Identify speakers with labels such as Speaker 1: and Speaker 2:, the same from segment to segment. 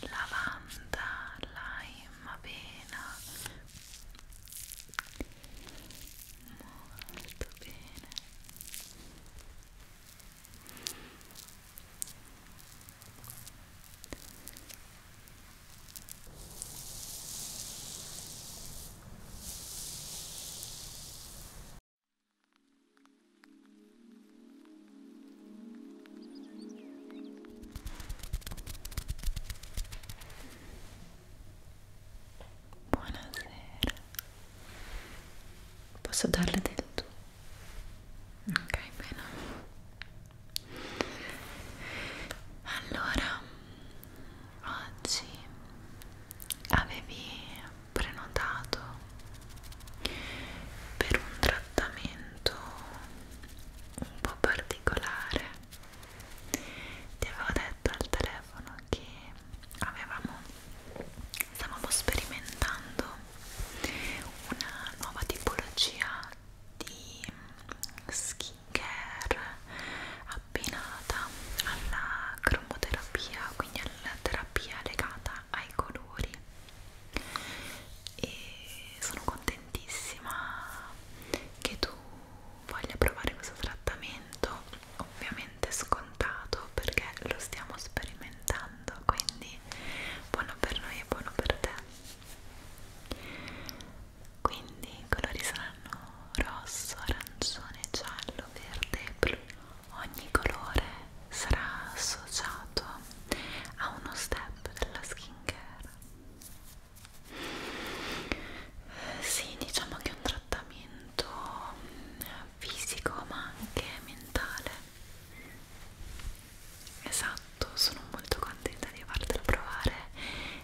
Speaker 1: lavanda, lime, avena molto bene Ora Buonasera. Posso darle del tu? Ok, bene. Allora, oggi avevi prenotato per un trattamento un po' particolare ti avevo detto al telefono che avevamo stavamo sperimentando una nuova tipologia di skincare abbinata alla cromoterapia quindi alla terapia terapia legata ai colori e sono contentissima che tu voglia provare questo trattamento ovviamente scontato perché lo stiamo sperimentando quindi buono per noi e buono per te quindi i colori saranno rosso, arancione, giallo, verde e blu ogni colore sarà associato a uno step della skincare sì diciamo che è un trattamento eh, fisico ma anche mentale esatto sono molto contenta di fartelo provare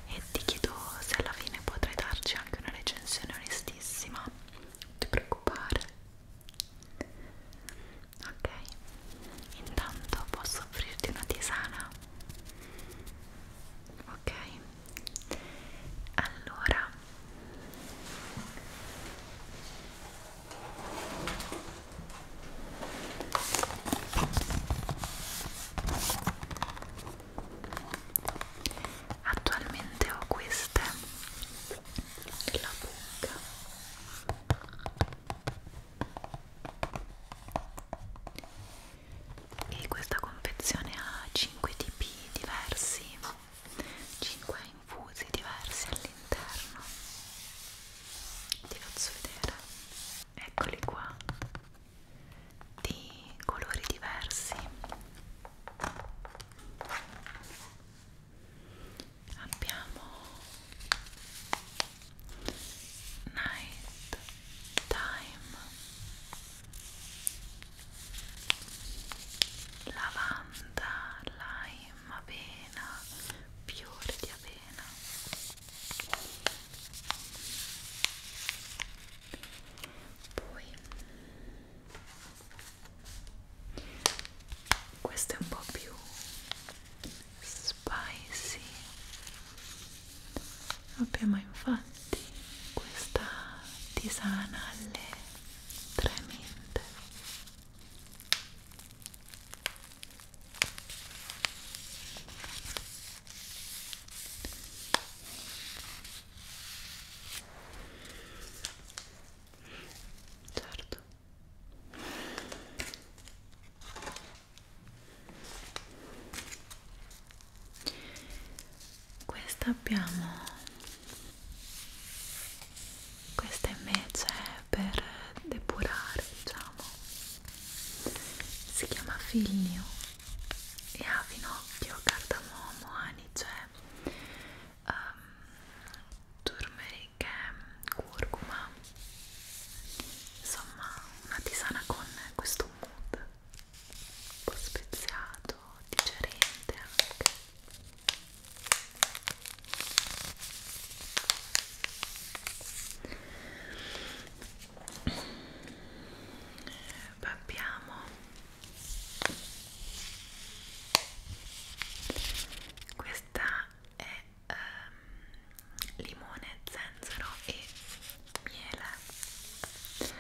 Speaker 1: e ti chiedo se alla fine potrai darci anche una recensione onestissima non ti preoccupare ok intanto posso offrirti una tisana ok allora Attualmente ho queste della bocca e questa confezione ha 5 tipi diversi 5 infusi diversi all'interno ti faccio vedere eccoli qua di colori diversi abbiamo night time lavanda lime avena fiori di avena poi questo è un po' più spicy abbiamo infatti questa tisana alle tre minte certo questa abbiamo questa invece è per depurare diciamo si chiama figlio e ha finocchio, cardamomo, anice um, turmeric e curcuma insomma una tisana con questo mood un po' speziato, digerente anche ehm, abbiamo questa è um, limone, zenzero e miele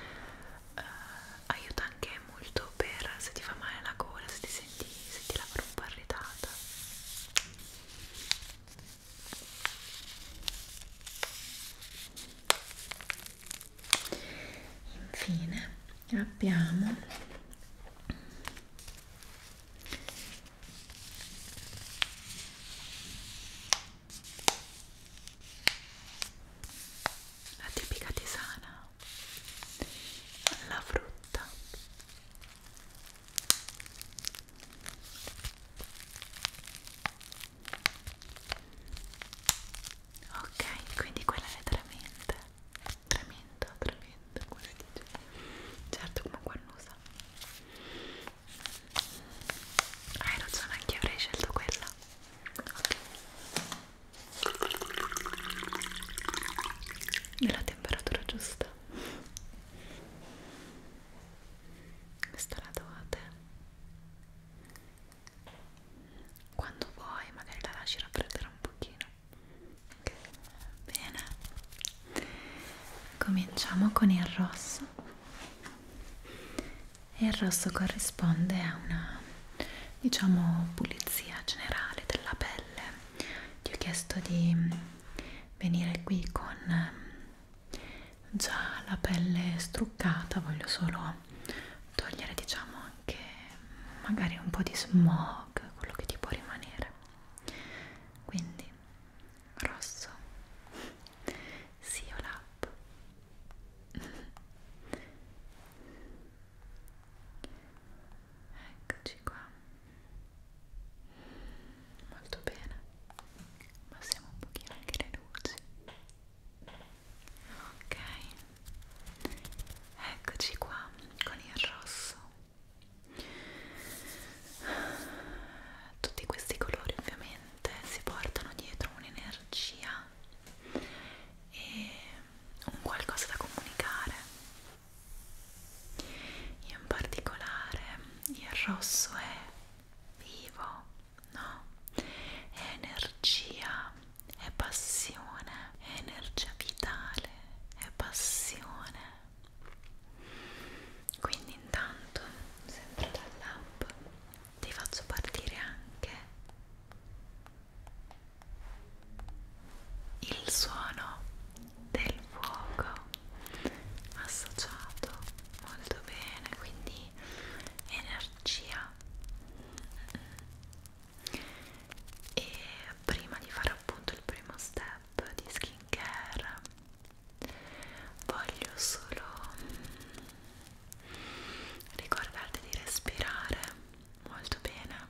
Speaker 1: uh, aiuta anche molto per se ti fa male la gola se ti senti, se ti la un po' irritata infine abbiamo la tipica tisana alla frutta ok quindi quella è tremenda tremenda tremenda come si dice certo come guannusa hai ragione anche io avrei scelto quella ok della temperatura giusta questa la dovete quando vuoi magari la lasci raffreddare un pochino okay. bene cominciamo con il rosso e il rosso corrisponde a una diciamo pulizia generale della pelle ti ho chiesto di venire qui con già la pelle struccata voglio solo togliere diciamo anche magari un po' di smog, quello che ti può rimanere. Quindi rosso, Siolab. Eccoci qua. Molto bene. Passiamo un pochino anche le luci ok eccoci qua con il rosso tutti questi colori ovviamente si portano dietro un'energia e un qualcosa da comunicare in particolare il rosso è vivo no è energia è passione, è energia vitale, è passione. Quindi intanto, sempre dall'app, ti faccio partire anche il suono del fuoco associato molto bene, quindi energia e prima di fare appunto il primo step di skincare voglio solo mm, ricordarti di respirare molto bene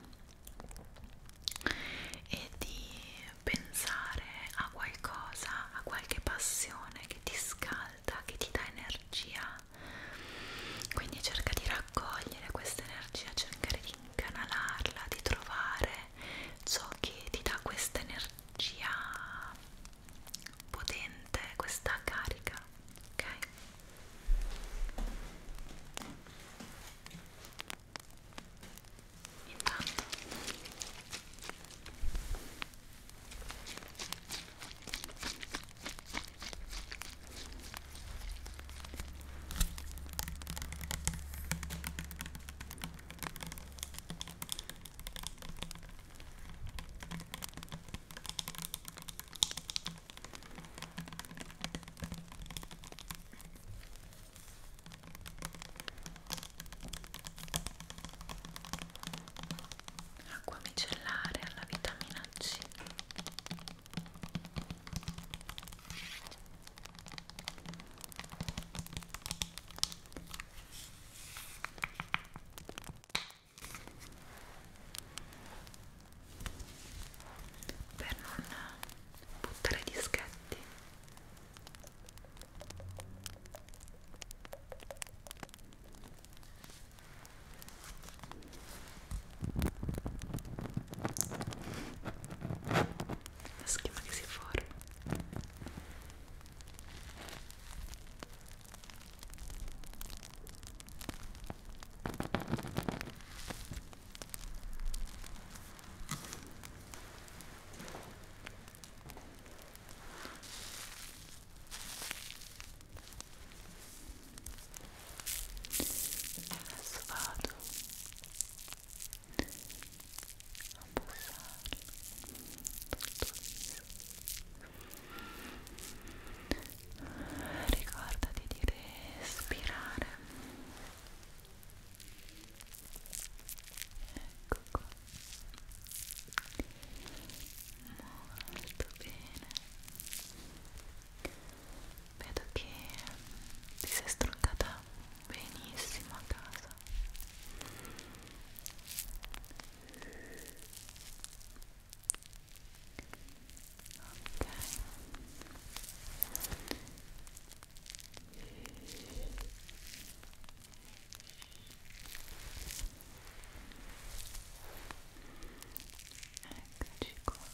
Speaker 1: e di pensare a qualcosa, a qualche passione che ti scalda, che ti dà energia quindi cerca di raccogliere questa energia cercare di incanalarla di trovare ciò che ti dà questa energia potente questa carica ok intanto acqua micellare alla vitamina C per non buttare i dischetti la schiuma che si forma adesso vado a passare tutto viso ricordati di respirare ecco qua molto bene vedo che ti sei stroncata benissimo a casa ok Eccoci qua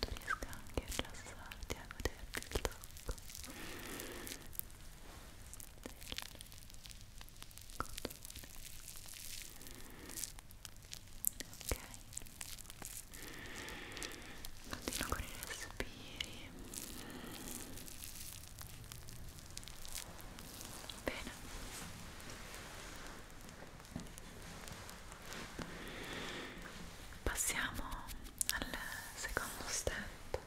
Speaker 1: tu riesca anche a rilassarti e a goderti il tocco ok continuo con i respiri bene Passiamo al secondo step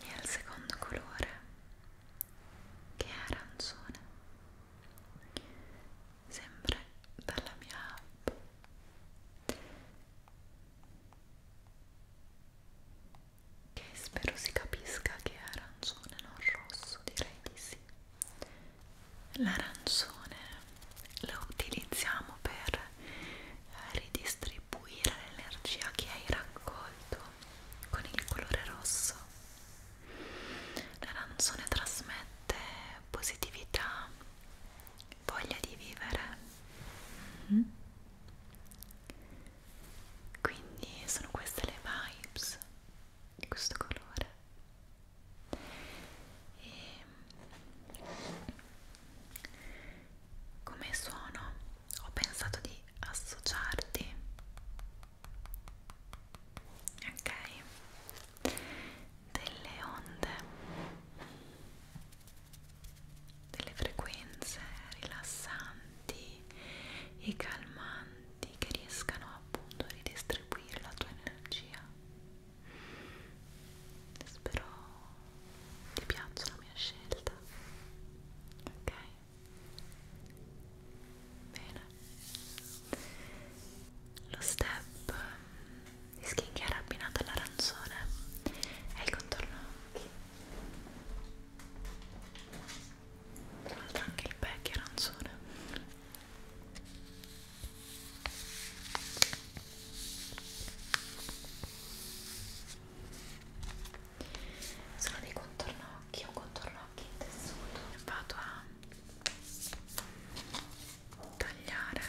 Speaker 1: e al secondo colore che è arancione, sempre dalla mia app. Che spero si capisca che è arancione, non rosso, direi di sì l'arancione lo utilizziamo per eh, ridistribuire l'energia che hai raccolto con il colore rosso l'arancione trasmette positività voglia di vivere mm -hmm. quindi sono queste le vibes di questo colore e come suono ho pensato di associarti ok delle onde delle frequenze rilassanti e calmanti oggetti che riescano appunto a ridistribuire la tua energia spero ti piaccia la mia scelta ok bene lo step ehm, di skincare abbinato all'arancione è il contorno occhi tra l'altro anche il pack è arancione sono dei contorno occhi, un contorno occhi in tessuto e vado a tagliare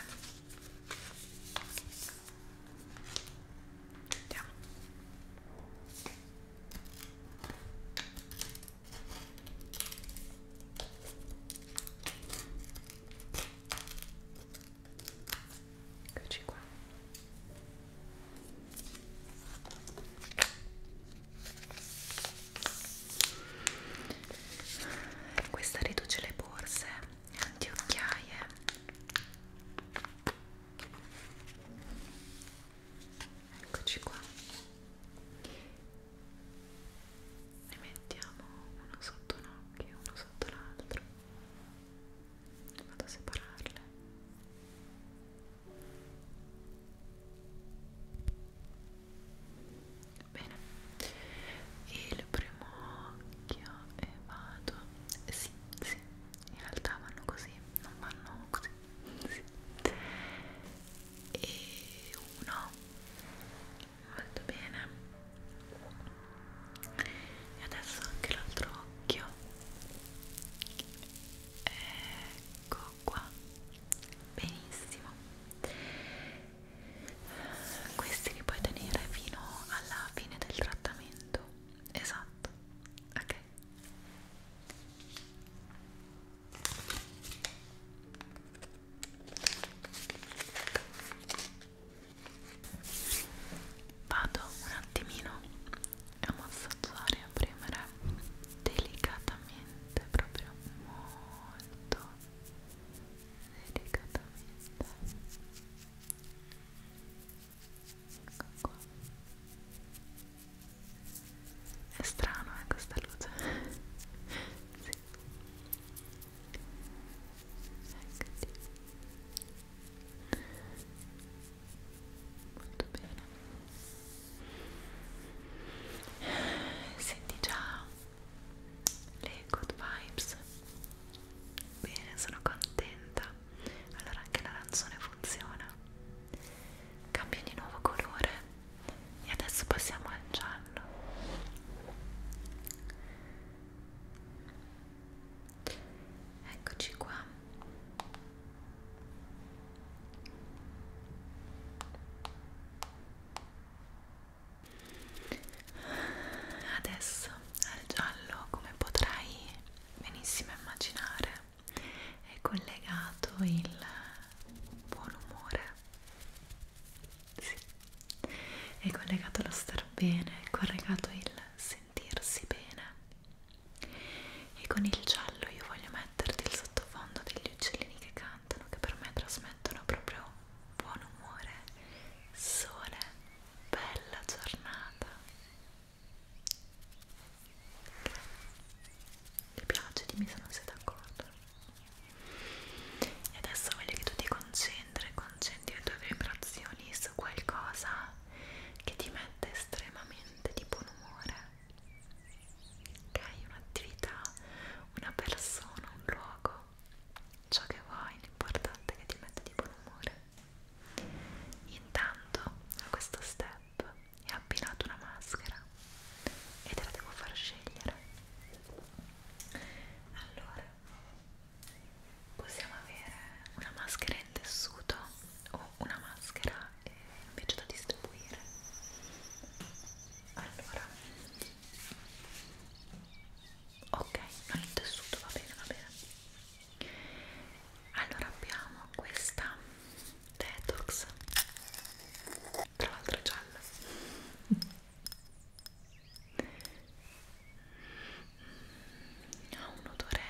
Speaker 1: Andiamo. Eccoci qua. Questa riduce le borse anti occhiaie eccoci qua ne mettiamo uno sotto un occhio uno sotto l'altro vado a separarle bene il primo occhio e vado sì sì in realtà vanno così non vanno così sì e 1 molto bene e adesso anche l'altro occhio ecco qua benissimo questi li puoi tenere fino alla fine del trattamento esatto ok Vado un attimino a massaggiare e a premere delicatamente, proprio molto delicatamente. Ecco qua. È strano eh, questa luce. sì. Eccoti. Molto bene. Senti già le good vibes. Bene, sono contenta. Allora anche la razzone funziona cambia di nuovo colore e adesso passiamo al giallo eccoci qua adesso al giallo come potrai benissimo immaginare è collegato il buon umore sì. è collegato allo star bene è collegato il sentirsi bene e con il giallo io voglio metterti il sottofondo degli uccellini che cantano che per me trasmettono proprio buon umore sole bella giornata ti piace? dimmi se non sei d'accordo e adesso voglio che tu ti concentri concentri le tue vibrazioni su qualcosa che ti mette estremamente di buon umore ok? un'attività una persona, un luogo ciò che vuoi, l'importante è che ti metta di buon umore intanto a questo step e ha abbinato una maschera e te la devo far scegliere allora possiamo avere una maschera in tessuto o una maschera eh, invece da distribuire allora ok non in tessuto va bene va bene allora abbiamo questa detox tra l'altro gialla ha un odore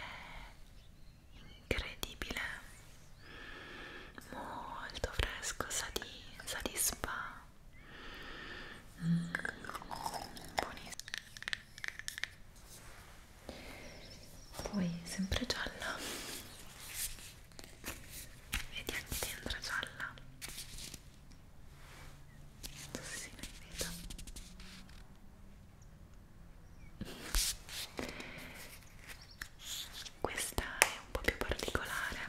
Speaker 1: incredibile molto fresco sa di, sa di spa mm, buonissimo poi sempre gialla vedi anche dentro gialla non so se si vede questa è un po' più particolare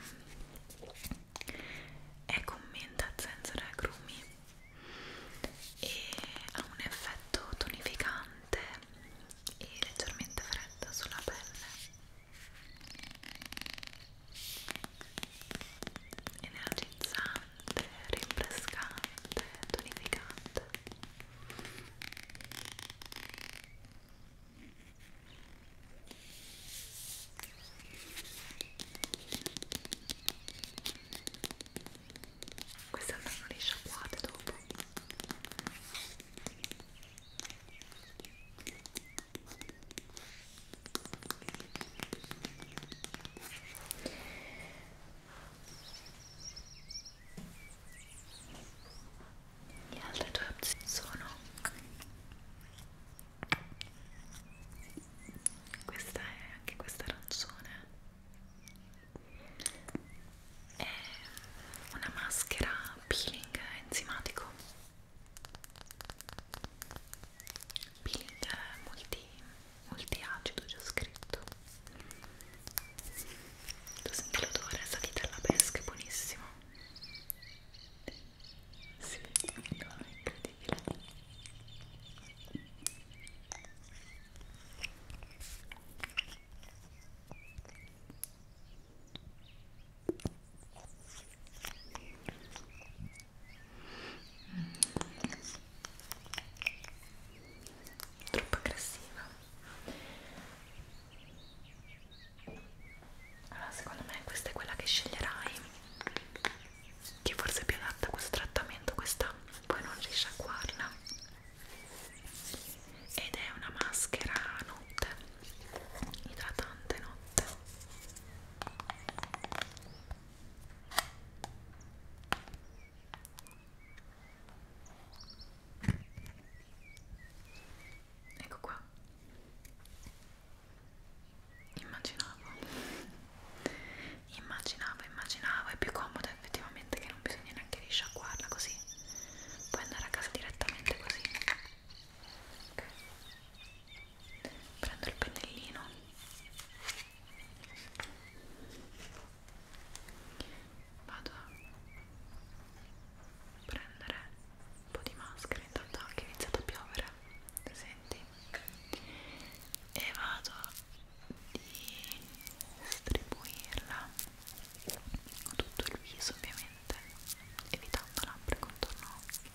Speaker 1: è con menta zenzero e agrumi e ha un effetto tonificante e leggermente fredda sulla pelle energizzante, rinfrescante, tonificante queste andranno risciacquate dopo le altre due opzioni sono questa è anche questa arancione è una maschera peeling enzimatico peeling multi, multi acido c'è scritto tu senti l'odore, salita alla pesca, è buonissimo sì, no, è incredibile Troppo aggressiva. Allora, secondo me questa è quella che sceglierai, che forse è più adatta a questo trattamento, questa poi non riesci a guardarla. Ed è una maschera nude idratante notte ecco qua immaginavo immaginavo immaginavo è più comodo effettivamente che non bisogna neanche risciacquarla così puoi andare a casa direttamente così ok prendo il pennellino vado a prendere un po' di maschera intanto che è iniziato a piovere senti e vado a distribuirla tutto il viso ovviamente evitando labbra e contorno occhi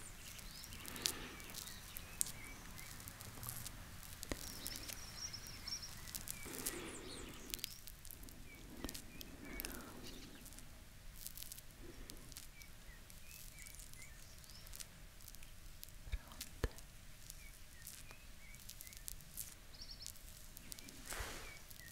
Speaker 1: Pronte. Ora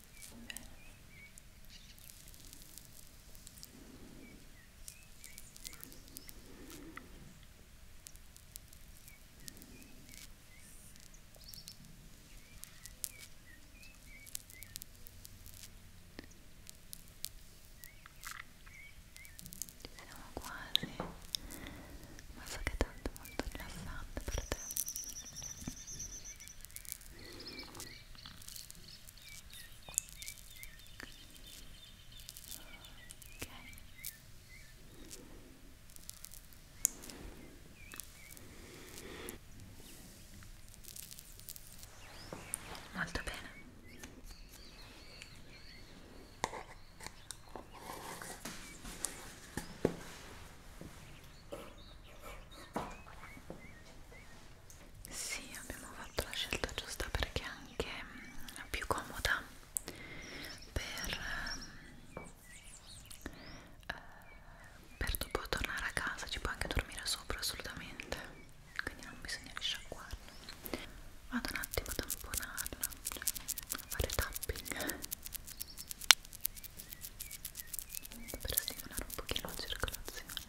Speaker 1: Ci siamo quasi, ma so che tanto è molto rilassante per te ok molto bene sì, abbiamo fatto la scelta giusta perché è anche mh, mm, più comoda per, mh, eh, per dopo tornare a casa, ci può anche dormire sopra assolutamente, quindi non bisogna risciacquarla. Vado un attimo a tamponarla, cioè a fare tapping per stimolare un pochino la circolazione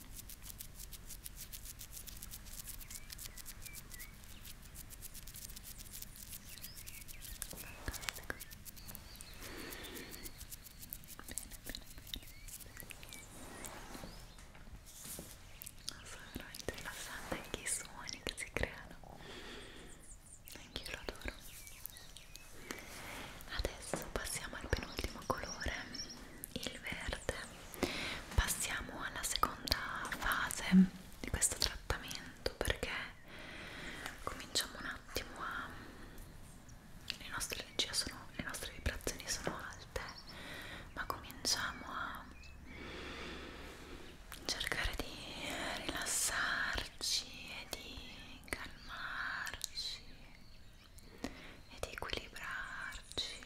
Speaker 1: Sono veramente rilassante anche i suoni che si creano. Anch'io lo adoro. Adesso passiamo al penultimo colore il verde passiamo alla seconda fase di questo trattamento perché cominciamo un attimo a le nostre energie sono le nostre vibrazioni sono alte ma cominciamo a cercare di rilassarci e di calmarci e di equilibrarci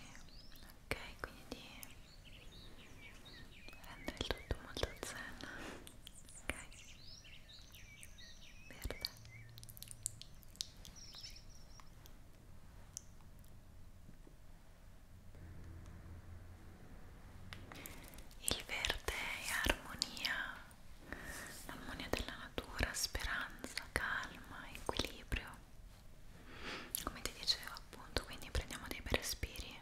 Speaker 1: ok quindi di rende il tutto molto zen ok verde il verde è armonia l'armonia della natura, speranza, calma, equilibrio come ti dicevo appunto quindi prendiamo dei bei respiri e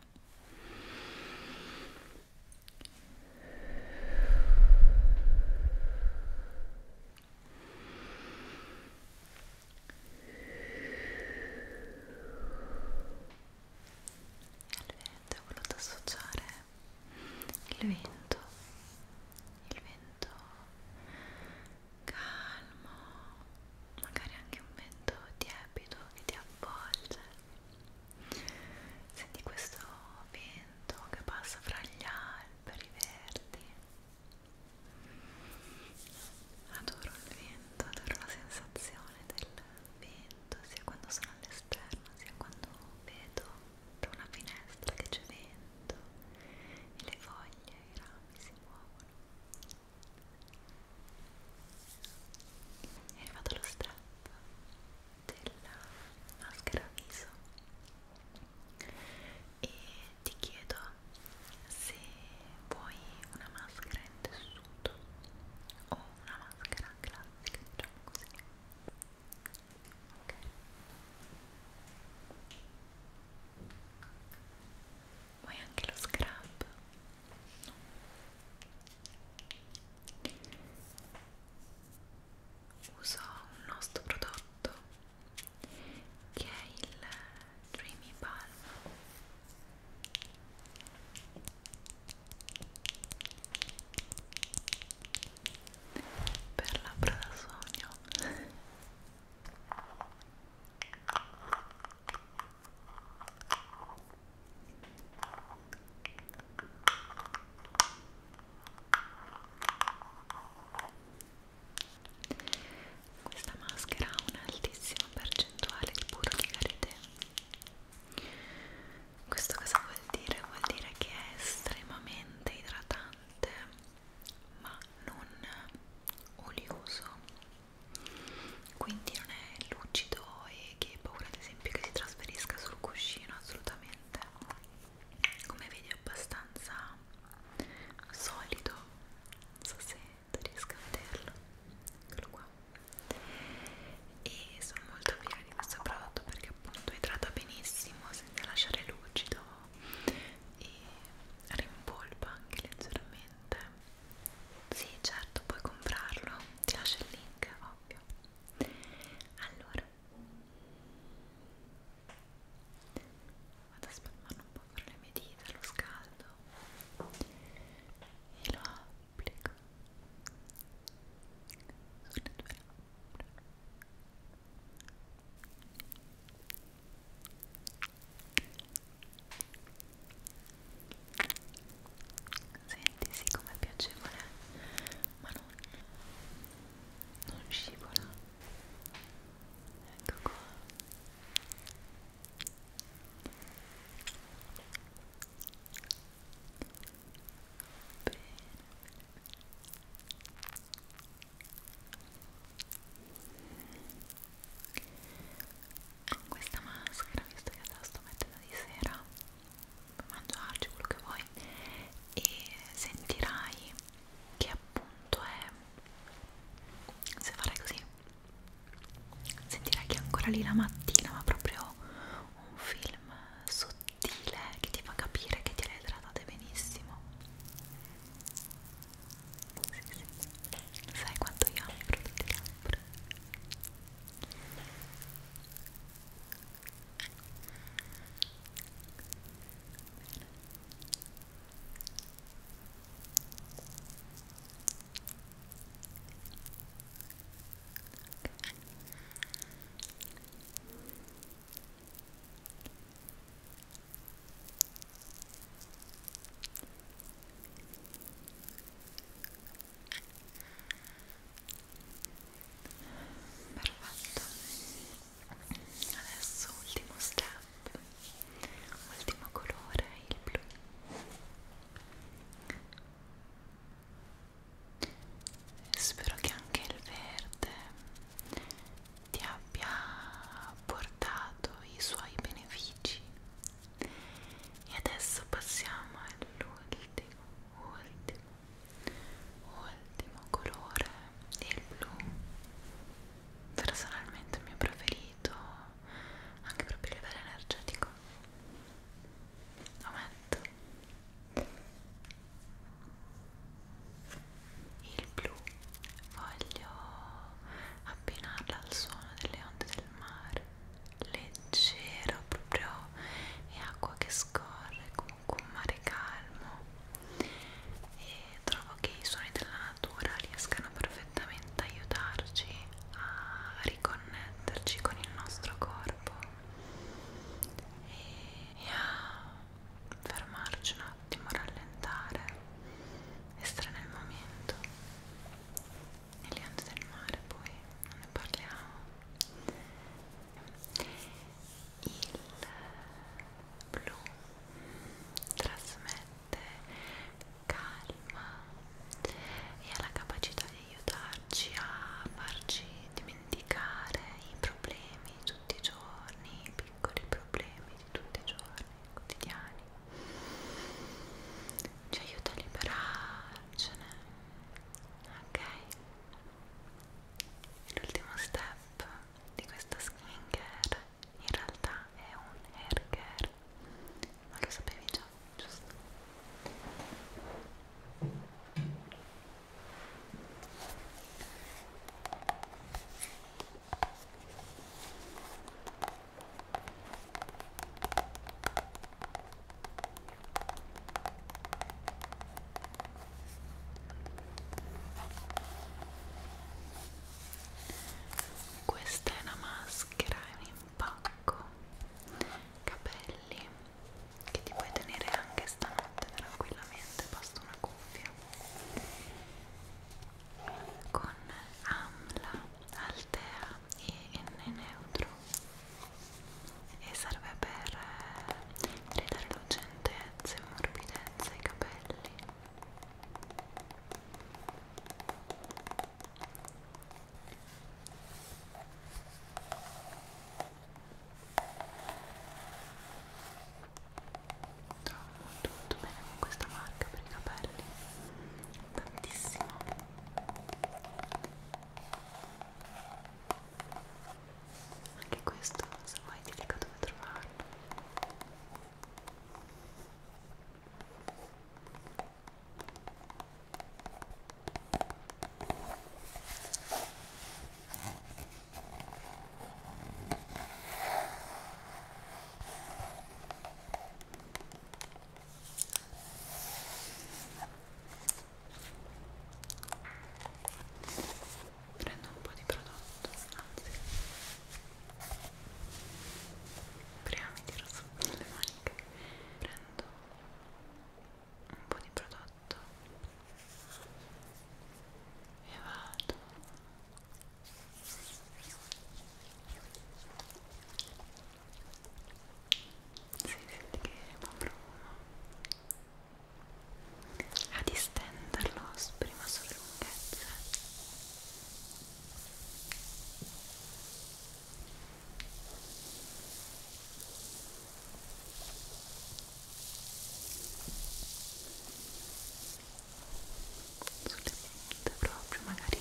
Speaker 1: al vento ho voluto associare il vento il vento calmo, magari anche un vento tiepido che ti avvolge. Senti questo vento che passa fra gli alberi verdi. Adoro il vento, adoro la sensazione del vento, sia quando sono all'esterno, sia quando vedo da una finestra che c'è vento e le foglie, i rami si muovono è arrivato lo strap della maschera viso e ti chiedo se vuoi una maschera in tessuto o una maschera classica diciamo così ok vuoi anche lo scrub? No. uso un nostro prodotto che è il Dreamy Balm per labbra da sogno questa maschera ha un'altissima percentuale di burro di karité. Questo cosa vuol dire? Vuol dire che è estremamente idratante ma non olioso quindi non è lucido e che ho paura ad esempio che si trasferisca sul cuscino assolutamente come vedi è abbastanza solido non so se riesco a vederlo eccolo qua e sono molto fiera di questo prodotto perché appunto idrata benissimo senza lasciare lucido e rimpolpa anche leggermente veramente? Sì, certo, puoi comprarlo. Ti lascio il link, ovvio. Allora, vado a spalmarlo un po' con le mie dita, lo scaldo e lo applico sulle tue labbra. Senti, sì, com'è piacevole, ma non, non scivola. Ecco qua. Bene, bene, bene con questa maschera visto che la sto mettendo di sera puoi mangiarci quello che vuoi e sentirai che appunto è se farai così sentirai che è ancora lì la mattina ma proprio un film sottile che ti fa capire che ti hai idratate benissimo sì, sì. sai quanto io amo i prodotti labbra Okay. Perfetto. Adesso ultimo step. Ultimo colore, il blu. Spero che anche il verde ti abbia portato i suoi benefici e adesso passiamo all'ultimo ultimo ultimo colore il blu personalmente il mio preferito anche proprio a livello energetico Aumento. il blu voglio abbinarla al suono delle onde del mare leggero proprio e acqua che scorre comunque un mare calmo e trovo che i suoni della natura riescano perfettamente a aiutarci a riconnetterci con il nostro corpo e, e a fermarci un attimo, rallentare, essere nel momento. Nelle onde del mare poi non ne parliamo. Il blu trasmette calma e ha la capacità di aiutarci a farci dimenticare i problemi di tutti i giorni, i piccoli problemi di tutti i giorni quotidiani ci aiuta a liberarcene ok l'ultimo step di questa skincare in realtà è un hair care ma lo sapevi già giusto questa è una maschera, è un impacco. Capelli che ti puoi tenere anche stanotte tranquillamente, basta una cuffia con AMLA, Altea e N neutro e serve per ridare lucentezza e morbidezza ai capelli tutto, tutto bene con questa marca per i capelli tantissimo anche questo se vuoi ti dico dove trovarlo ok prendo un po' di prodotto anzi prima mi tiro su le maniche prendo un po' di prodotto e vado si senti che provo a distenderlo prima sulle lunghezze sulle punte proprio magari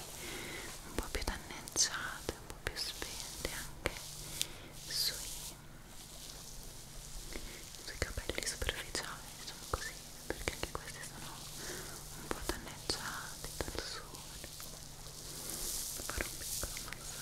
Speaker 1: un po' più danneggiate un po' più spente anche sui, sui capelli superficiali diciamo così perché anche questi sono un po' danneggiati dal sole fare un piccolo massaggio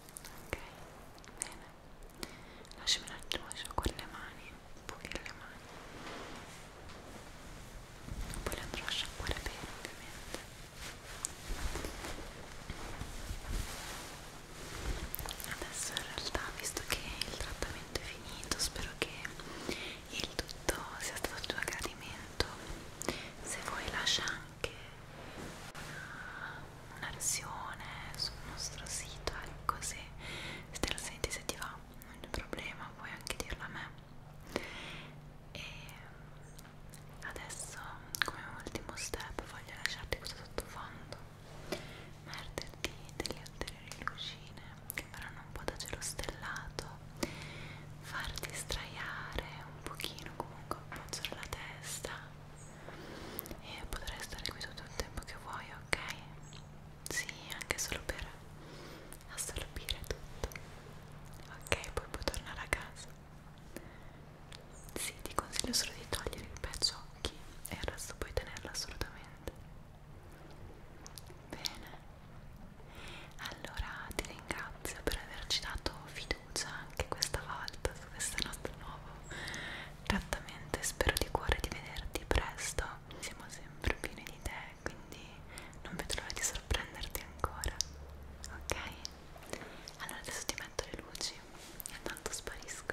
Speaker 1: ok bene lasciami un attimo giù con le mani un pochino le mani poi le andrò a sciacquare bene ovviamente adesso in realtà visto che il trattamento è finito spero che il tutto sia stato il tuo gradimento se vuoi lascia anche una, una versione sul nostro sito ecco se, se te la senti se ti va non c'è problema puoi anche dirla a me e adesso come ultimo step voglio lasciarti questo sottofondo merderti delle ulteriori lucine che faranno un po' da cielo stellato farti straiare un pochino comunque appoggiare la testa e potrai stare qui tutto il tempo che vuoi, ok? Sì, anche solo per assorbire tutto. Ok, poi puoi tornare a casa. Sì, ti consiglio solo di togliere il pezzo occhi e il resto puoi tenerlo assolutamente. Bene. Allora ti ringrazio per averci dato fiducia fiducia anche questa volta su questo nostro nuovo trattamento e spero di cuore di vederti presto. Siamo sempre pieni di te, quindi non vedo l'ora di sorprenderti ancora. Ok? Allora adesso ti metto le luci e tanto sparisco.